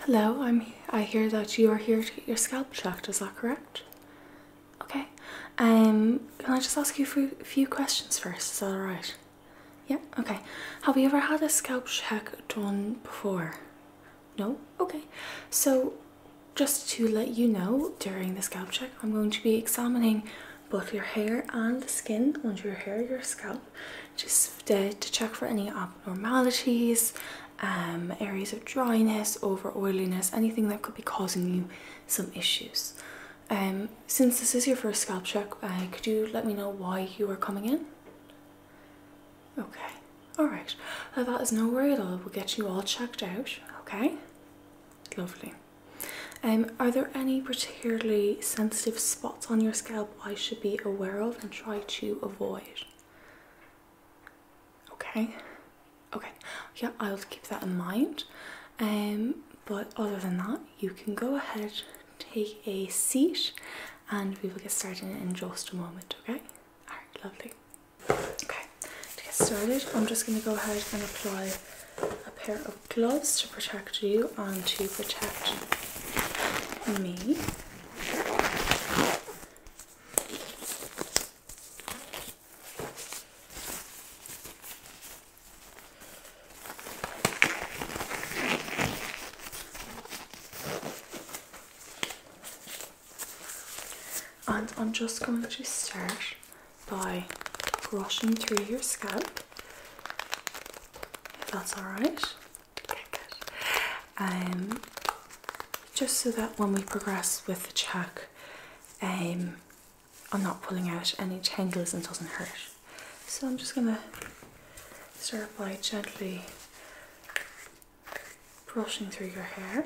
Hello, I'm, I hear that you are here to your scalp check. is that correct? Okay, um, can I just ask you a few questions first, is that alright? Yeah, okay. Have you ever had a scalp check done before? No? Okay. So, just to let you know, during the scalp check, I'm going to be examining both your hair and the skin under your hair your scalp just to check for any abnormalities um, areas of dryness over oiliness anything that could be causing you some issues um, since this is your first scalp check uh, could you let me know why you are coming in okay all right uh, that is no worry at all we'll get you all checked out okay lovely um, are there any particularly sensitive spots on your scalp I should be aware of and try to avoid? Okay, okay, yeah, I'll keep that in mind. Um, but other than that, you can go ahead, take a seat, and we will get started in just a moment, okay? Alright, lovely. Okay, to get started, I'm just going to go ahead and apply a pair of gloves to protect you and to protect me. And I'm just going to start by brushing through your scalp. If that's alright. Um, just so that when we progress with the check, um, I'm not pulling out any tangles and doesn't hurt. So I'm just gonna start by gently brushing through your hair.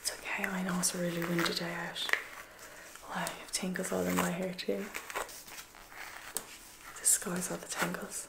It's okay, I know it's a really windy day out. Well, I have tangles all in my hair too. This guy's all the tangles.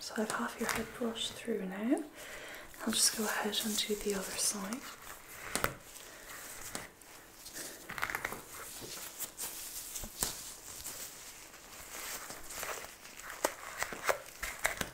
So I've half your head brushed through now. I'll just go ahead and do the other side.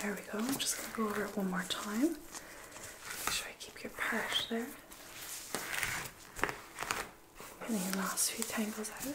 There we go. I'm just going to go over it one more time. Make sure I keep your part there. Getting the last few tangles out.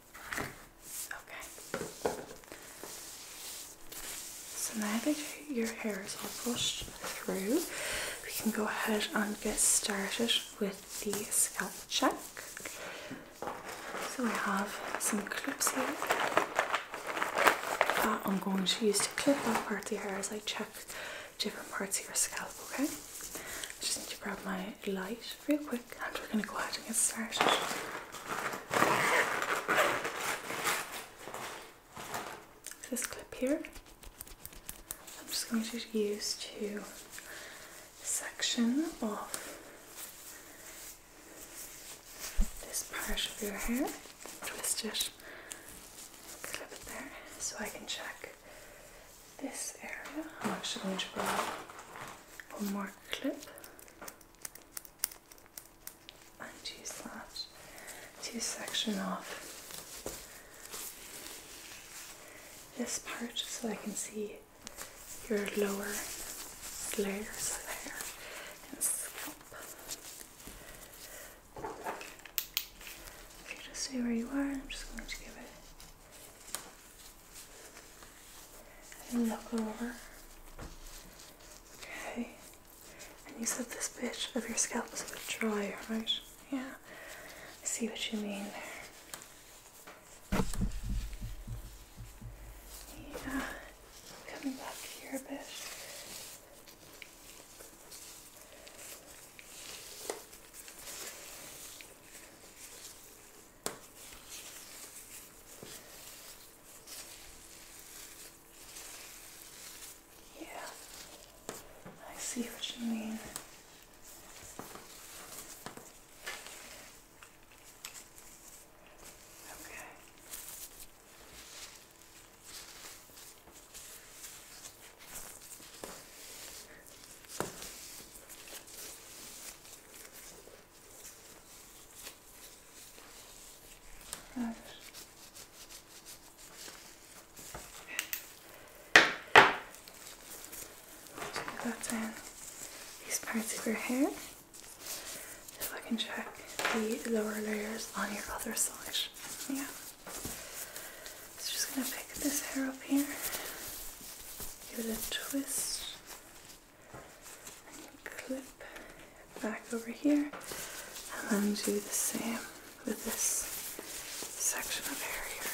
Okay. So now that your hair is all brushed through, we can go ahead and get started with the scalp check. So I have some clips here that I'm going to use to clip off part of the hair as I check different parts of your scalp, okay? I just need to grab my light real quick and we're going to go ahead and get started. This clip here, I'm just going to use to section off this part of your hair, twist it, clip it there so I can check this area. I'm actually going to grab one more clip and use to section off this part so I can see your lower layers of hair If you just stay where you are, I'm just going to give it and look over. Okay. And you said this bit of your scalp is a bit dry, right? Yeah. see what you mean Yeah. Coming back here bitch. Yeah, I see what you mean. Okay. Right. So got these parts of your hair. If I can check the lower layers on your other side. Yeah. So just gonna pick this hair up here give it a twist clip back over here and then do the same with this section of hair here.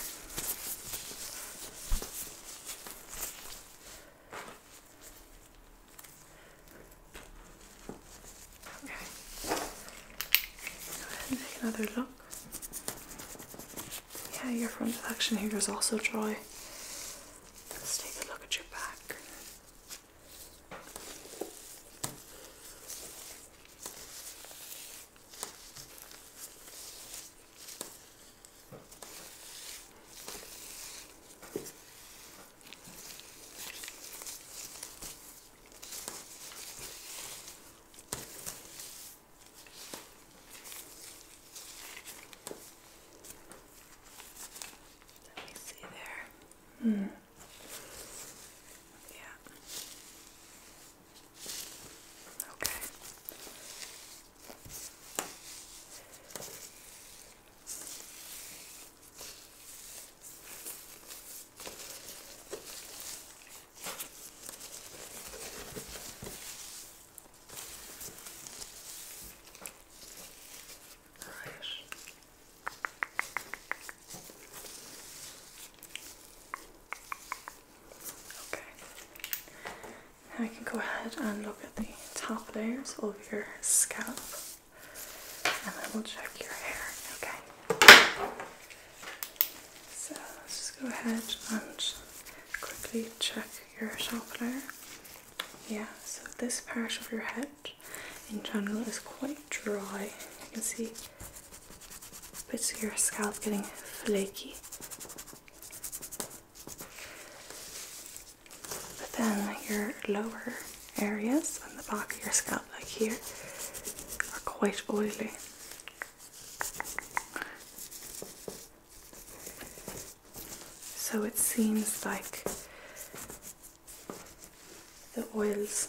Okay, go ahead and take another look. Yeah, your front section here is also dry. Let's take a look at your back. Let me see there. Hmm. Yeah. Okay okay. Now I can go ahead and look at the top layers of your scalp, and I will check your hair. Okay. So let's just go ahead and quickly check your top layer. Yeah, so this part of your head in general is quite dry. You can see bits of your scalp getting flaky. But then your lower areas on the back of your scalp, like here, are quite oily. So it seems like the oils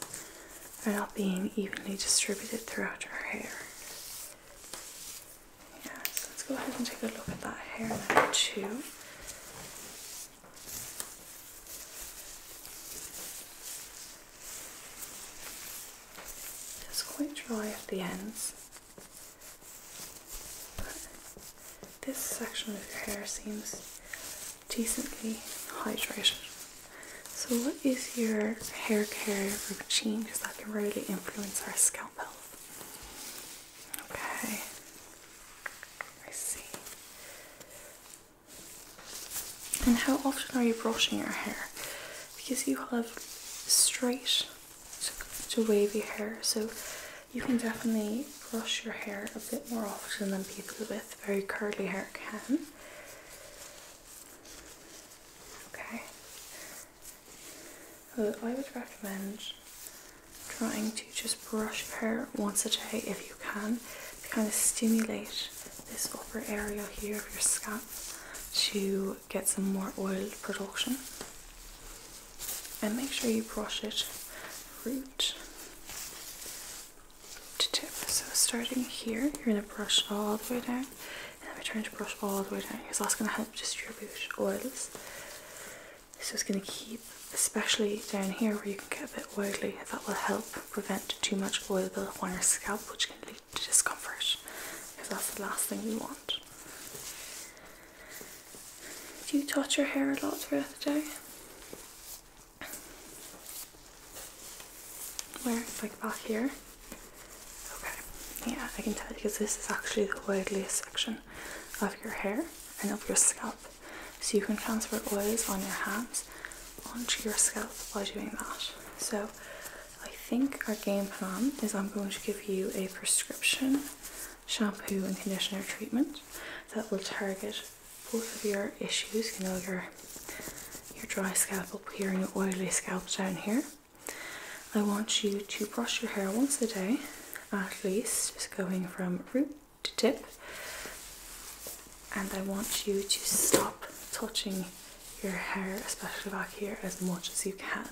are not being evenly distributed throughout our hair. Yeah, so let's go ahead and take a look at that hair now too. It's quite dry at the ends, but this section of your hair seems decently hydrated. So, what is your hair care routine? Because that can really influence our scalp health. Okay, I see. And how often are you brushing your hair? Because you have straight to wavy hair, so you can definitely brush your hair a bit more often than people with very curly hair can. Okay. I would recommend trying to just brush your hair once a day if you can to kind of stimulate this upper area here of your scalp to get some more oil production. And make sure you brush it root to tip. So starting here, you're going to brush all the way down and I'm trying to brush all the way down because that's going to help distribute oils. So it's going to keep, especially down here where you can get a bit oily, that will help prevent too much oil buildup on your scalp which can lead bodily discomfort if that's the last thing you want. Do you touch your hair a lot throughout the day? Where? Like back here? Okay, yeah, I can tell because this is actually the oiliest section of your hair and of your scalp. So you can transfer oils on your hands onto your scalp by doing that. So, I think our game plan is I'm going to give you a prescription shampoo and conditioner treatment that will target both of your issues, you know, your your dry scalp up here and your oily scalps down here. I want you to brush your hair once a day at least, just going from root to tip and I want you to stop touching your hair, especially back here, as much as you can.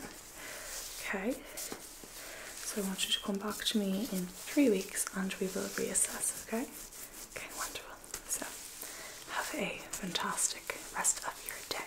Okay, so I want you to come back to me in three weeks and we will reassess. Okay, okay, wonderful. So, have a fantastic rest of your day.